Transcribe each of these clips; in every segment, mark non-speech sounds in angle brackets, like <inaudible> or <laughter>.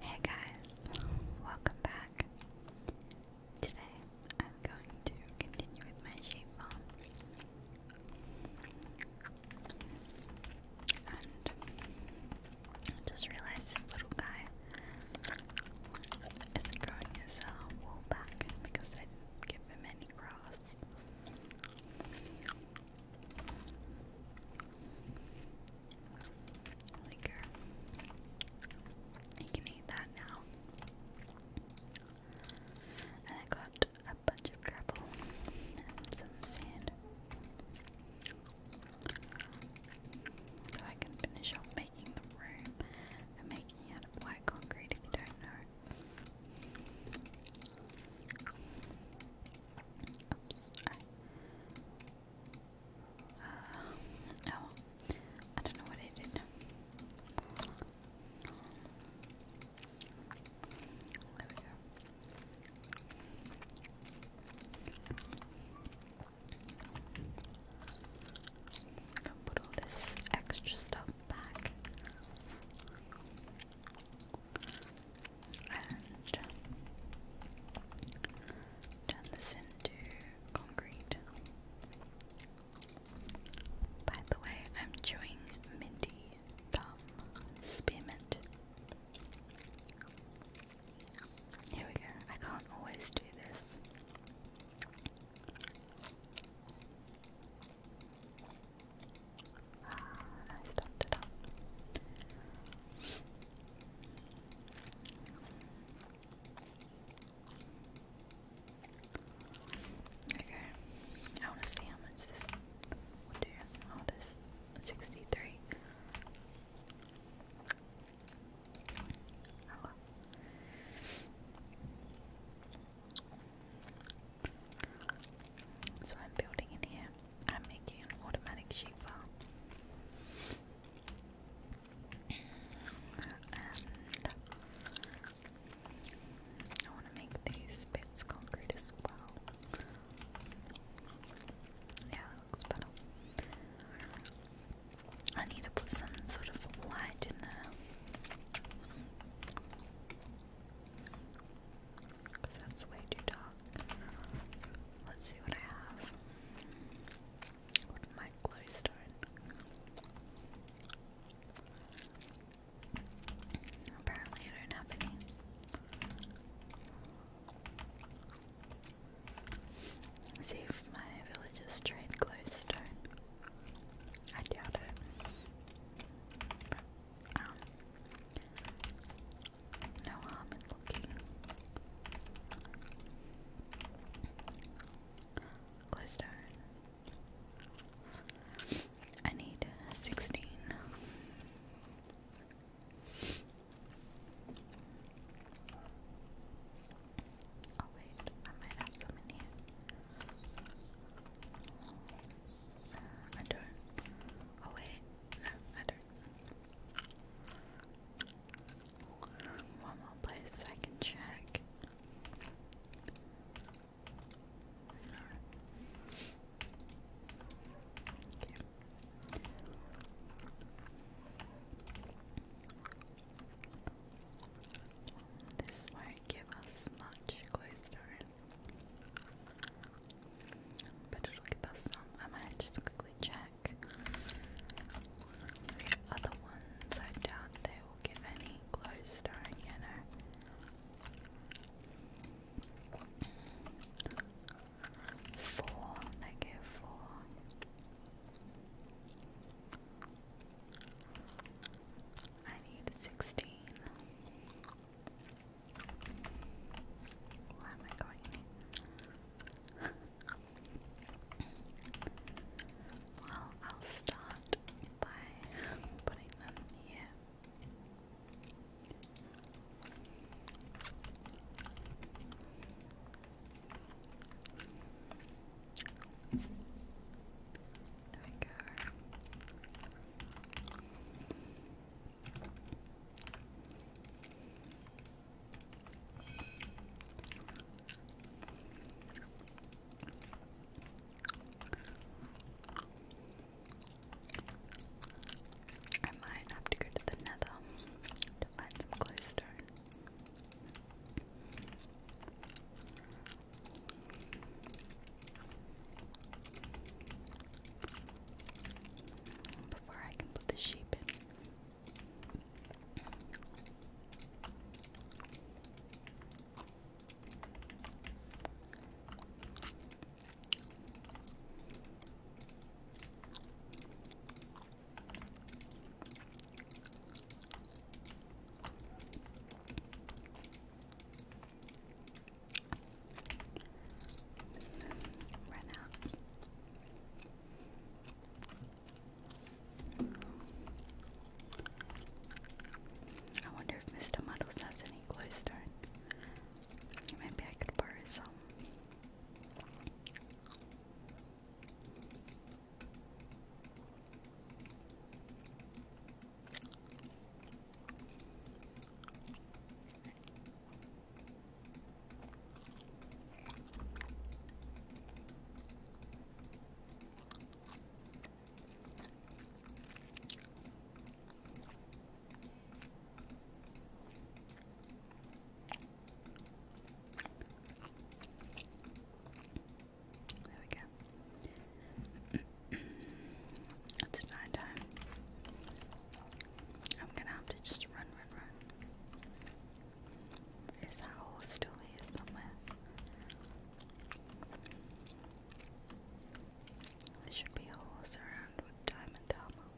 Hey guys, welcome back. Today I'm going to continue with my shape form. And just realized this little guy is growing his uh, wool back because I didn't give him any grass. Liquor. You can eat that now. And I got a bunch of gravel and some sand. So I can finish off making the room. I'm making it out of white concrete if you don't know. Uh, oh, I don't know what I did. There we go. Gonna put all this extra stuff back turn this into concrete. By the way, I'm chewing minty gum Here we go. I can't always do this. Ah, I stopped Okay. I wanna see how much this will do. Oh this sixty three. So I'm building in here. I'm making an automatic shape file. and I want to make these bits concrete as well. Yeah, that looks better. I need to put some sort of light in there. Because that's way too dark. Let's see what I have. What my glowstone? Apparently, I don't have any. see if my villagers trade glowstone. I doubt it. Um, no harm in looking. Glowstone. I need sixteen. Oh wait, I might have some in here. I don't. Oh wait, I don't. One more place I can check. This won't give us much glowstone, but it'll give us some. I might just quickly check back. other ones, I doubt they will give any glowstone, you know. Four, they give four. I need sixteen. Why am I going well, I'll start by putting them here. There we go. I might have to go to the nether to find some glowstone. Before I can put the sheep in. Run out. I wonder if Mr. Muddles has any glowstone. Maybe I could borrow some. There we go. <clears throat> it's night I'm gonna have to just run, run, run. Is that horse still here somewhere? There should be a horse around with diamond armor.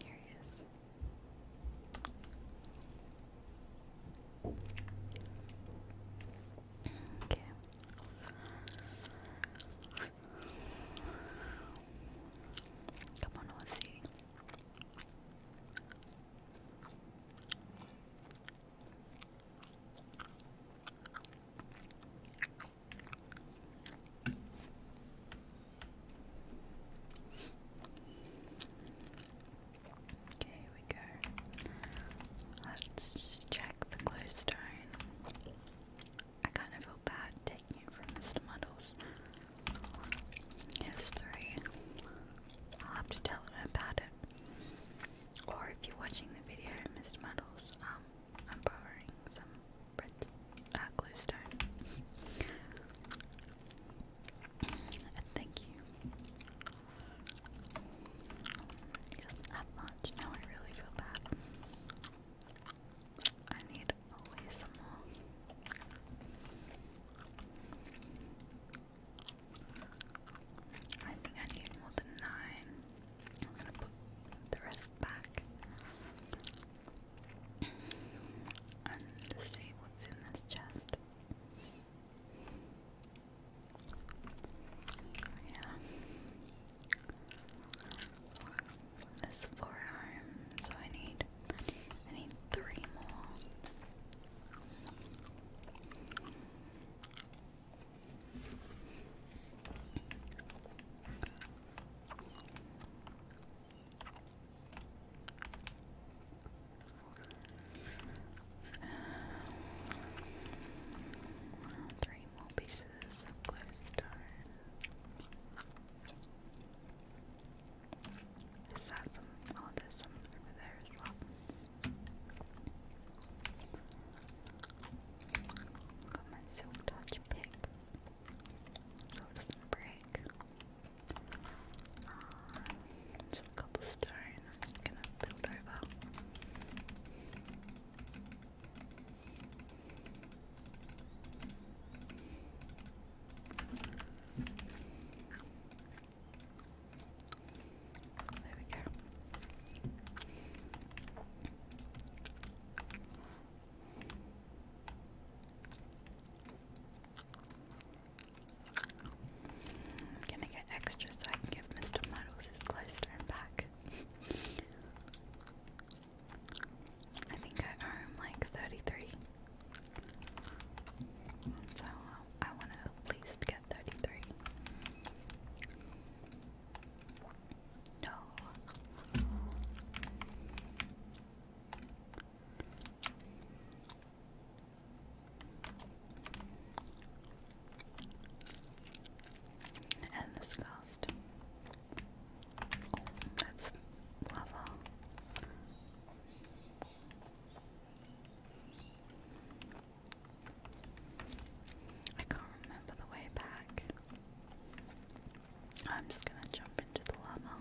Here he is. Okay. Come on, let's see. Okay, here we go. Let's check the glowstone. I kind of feel bad taking it from Mr. Muddle's history. I'll have to tell him about it. Or if you're watching the video, Mr. Muddles, um, I'm borrowing some bread, uh, glowstone. thank you. He does much. Now I really feel bad. I need away some more. I think I need more than nine. I'm gonna put the rest back and see what's in this chest. Yeah. This forearm, so I need I need three more. Um, three more pieces of glowstone. Is that some? Oh, there's some over there as well. Got my silk touch pick so it doesn't break. Uh, some cobblestone I'm just gonna build over. There we go. I'm gonna get extra so I can give Mr. Muddles his glowstone back. I think I earn like 33. So I want to at least get 33. No. And cost that's lava. I can't remember the way back. I'm just gonna jump into the lava.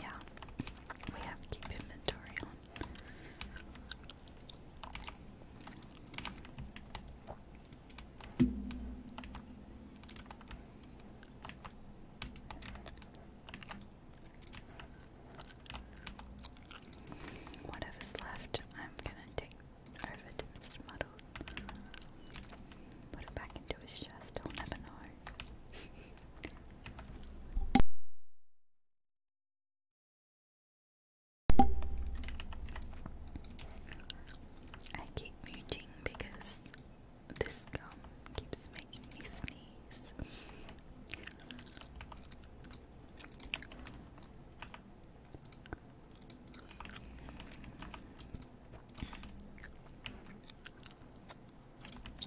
Yeah, we have to keep inventory on. Whatever's left, I'm gonna take over to Muddles. Put it back into his chest, I'll never know. I keep muting because this gum keeps making me sneeze.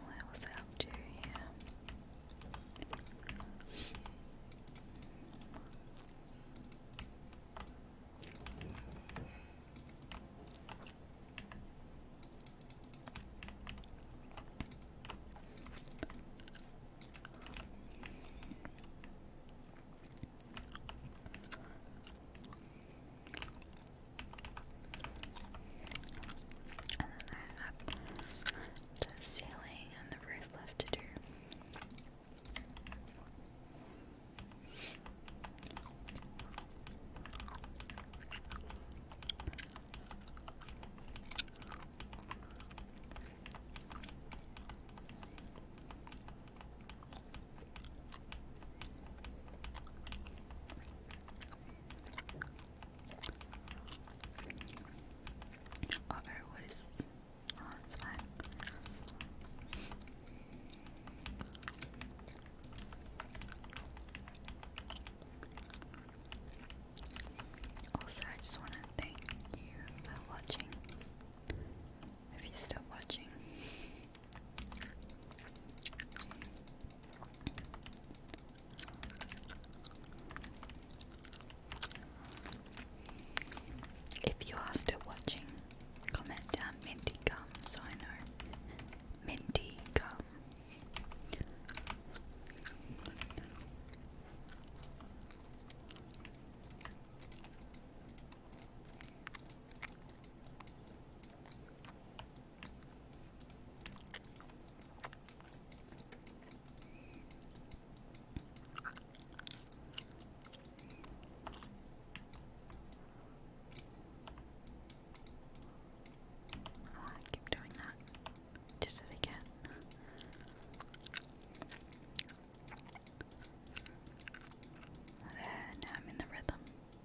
Where was I up to here? And then I up the ceiling and the roof left to do. Uh oh, what is. Oh, it's fine. Also, I just want to thank you for watching. If you're watching, if you are still watching, comment down minty gum so I know. Minty gum. Oh, I keep doing that. Did it again. There, now I'm in the rhythm.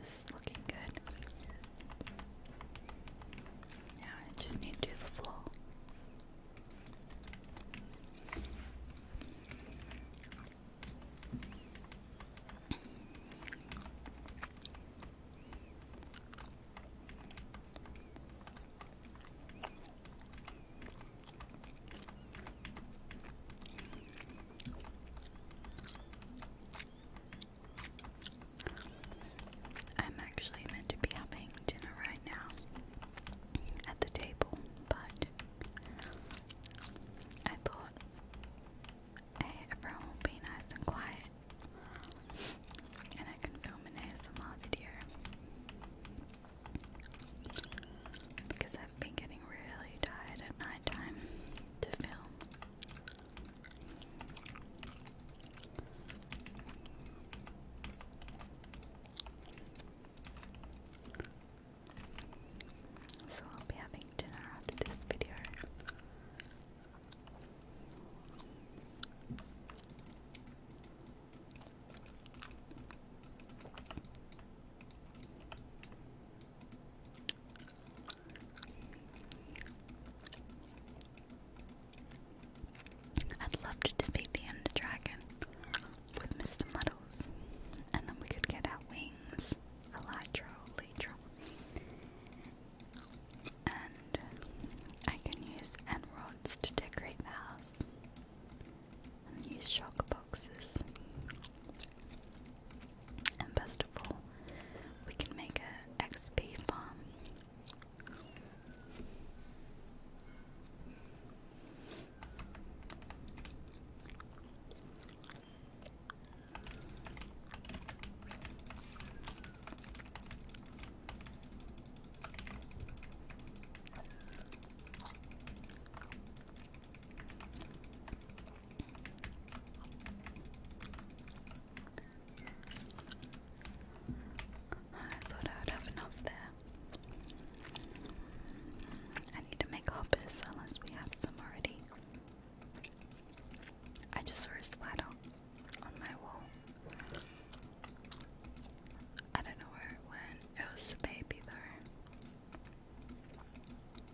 This is looking good. Now I just need to do the floor. I'm actually meant to be having dinner right now at the table, but I thought, hey, everyone will be nice and quiet, and I can film an ASMR video because I've been getting really tired at night time to film. So I'll be having dinner after this video. I'd love to defeat the Ender Dragon with Mr. Muddles, and then we could get our wings, Elytra, Elytra. And I can use end rods to decorate the house, and use shock boxes. And best of all, we can make a XP farm. I thought I would have enough there. I need to make hoppers unless we have some already. I just saw a spider on my wall. I don't know where it went. It was a baby though.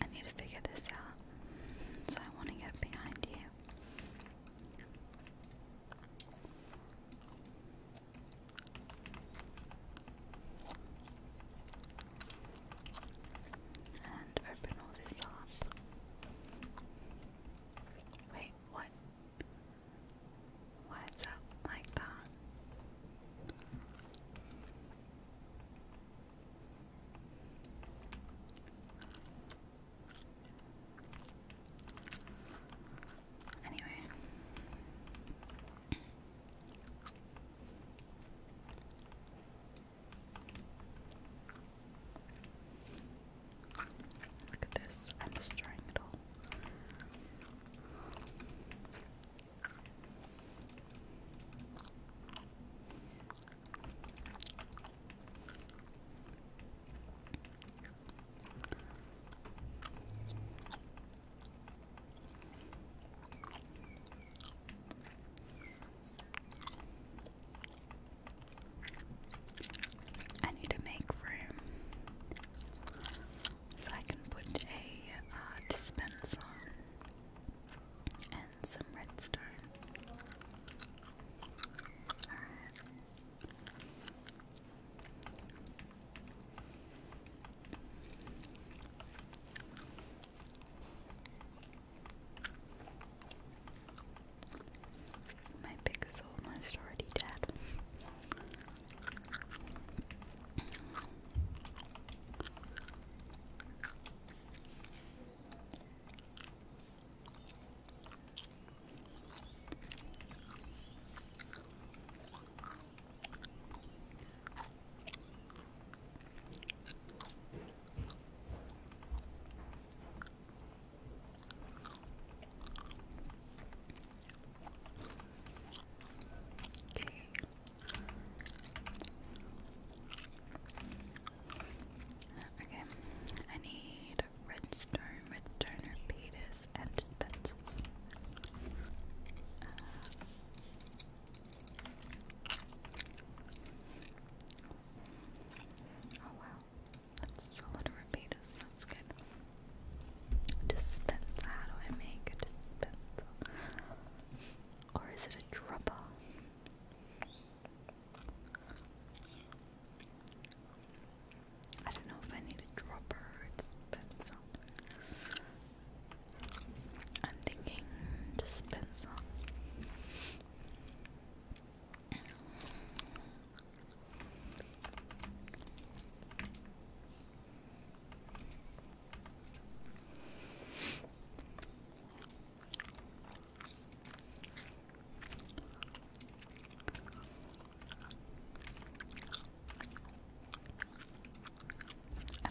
I need to figure this out. So I want to get behind you and open all this up. Wait, what? Why is like that? Anyway. Look at this. I'm destroying it all. I need to make room so I can put a uh, dispenser and some redstone. My pig is almost already dead. Okay. Okay, I need redstone, redstone repeaters, and dispensers. Uh, Oh wow, that's a lot of repeaters, that's good. Dispenser, how do I make a dispenser? Or is it a dropper? I don't know if I need a dropper or a dispenser. I'm thinking dispenser. I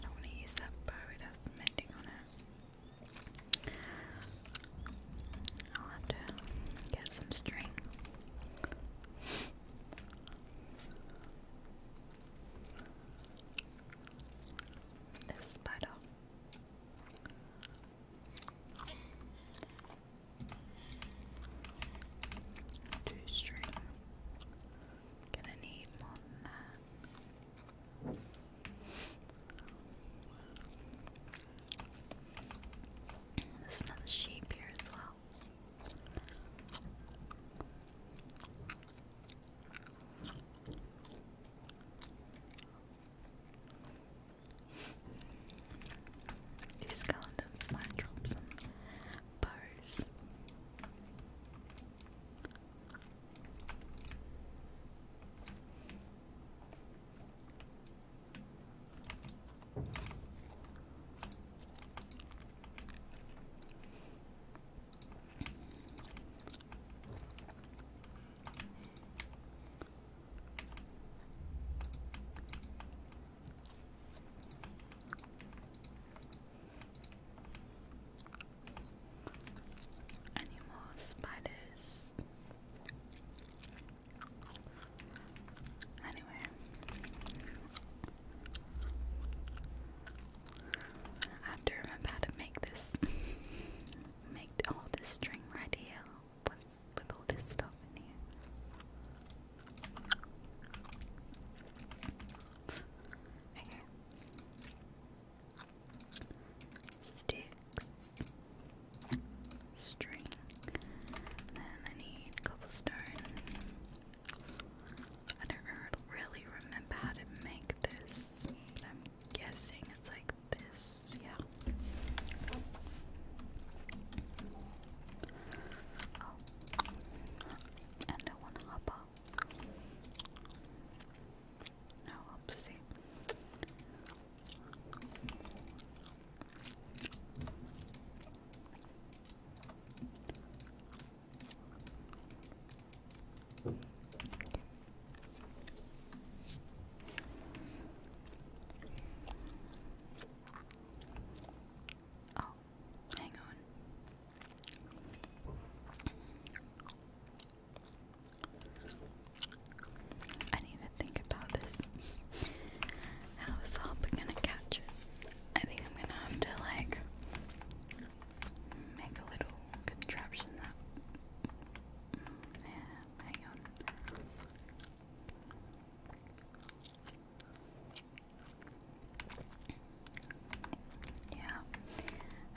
don't want to use that bow, it has mending on it. I'll have to get some string. This spider. Two string. Gonna need more than that. There's another sheep here as well. These skeletons might drop some bows. Any spiders? Anyway. I have to remember how to make this <laughs> make all this string right here with, with all this stuff in here. Okay sticks, string. Then I need cobblestone. I don't really remember how to make this, I'm guessing it's like this. Yeah. Oh, and I want hopper. No, obviously. Oh, hang on. I need to think about this. How is Hopper gonna catch it? I think I'm gonna have to like make a little contraption that. Mm, yeah, I'm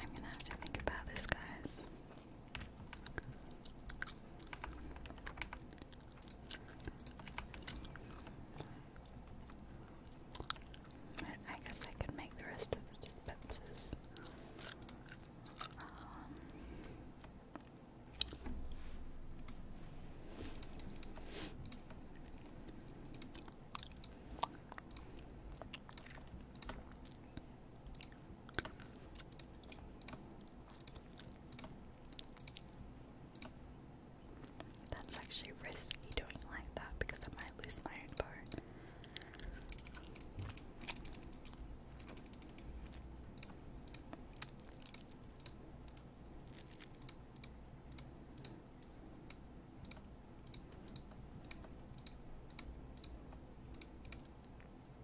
gonna have to think about this, guys. But I guess I could make the rest of the dispensers. Um, that's actually risky doing like that because I might lose my own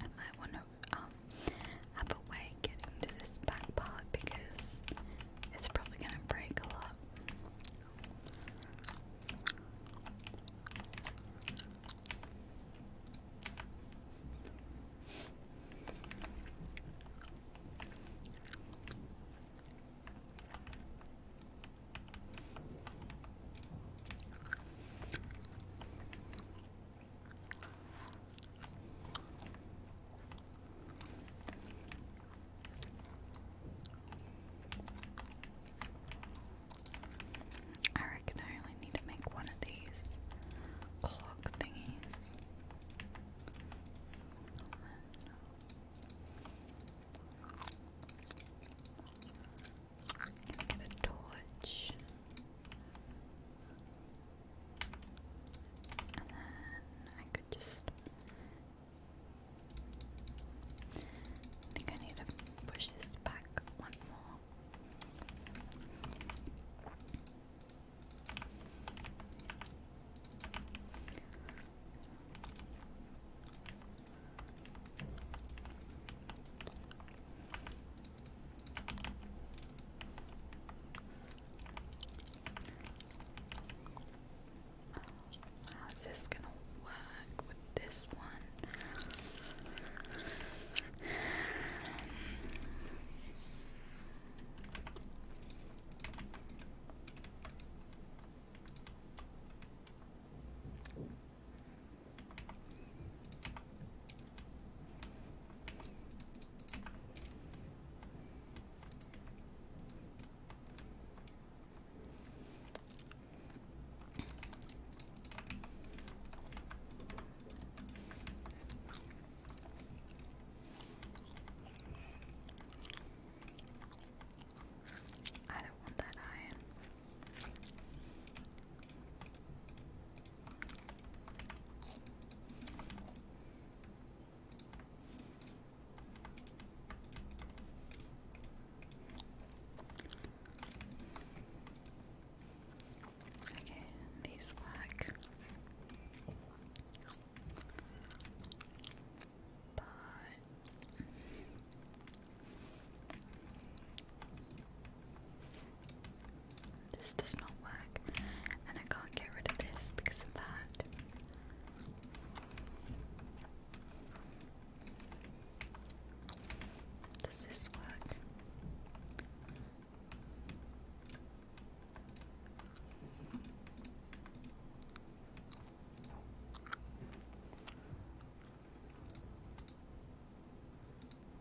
I might want to um, have a way getting to this back part because it's probably going to break a lot. I reckon I only need to make one of these clock thingies. Get a torch. And then I could just. I think I need to push this back one more. How's this gonna work with this one? I don't want that iron. Okay, these work. But this does not work, and I can't get rid of this because of that. Does this work?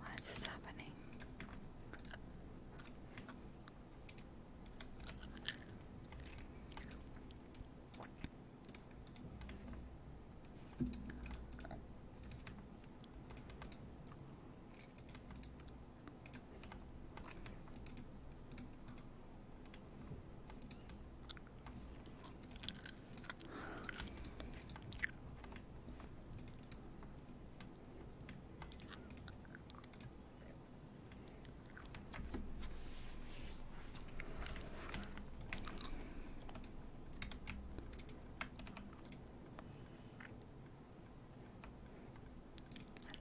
Why is happening? Is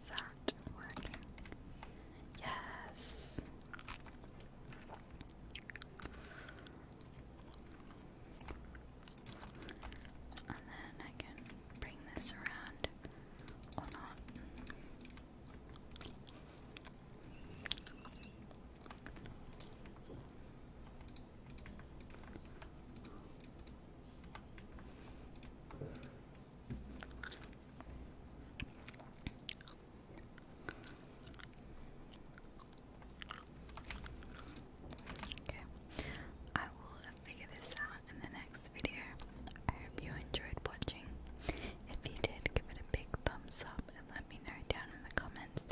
that working? Yes. And then I can bring this around or not. Okay, I will figure this out in the next video. I hope you enjoyed watching. If you did, give it a big thumbs up and let me know down in the comments.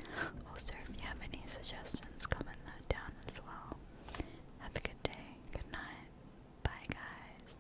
Also, if you have any suggestions, comment that down as well. Have a good day, good night, bye guys.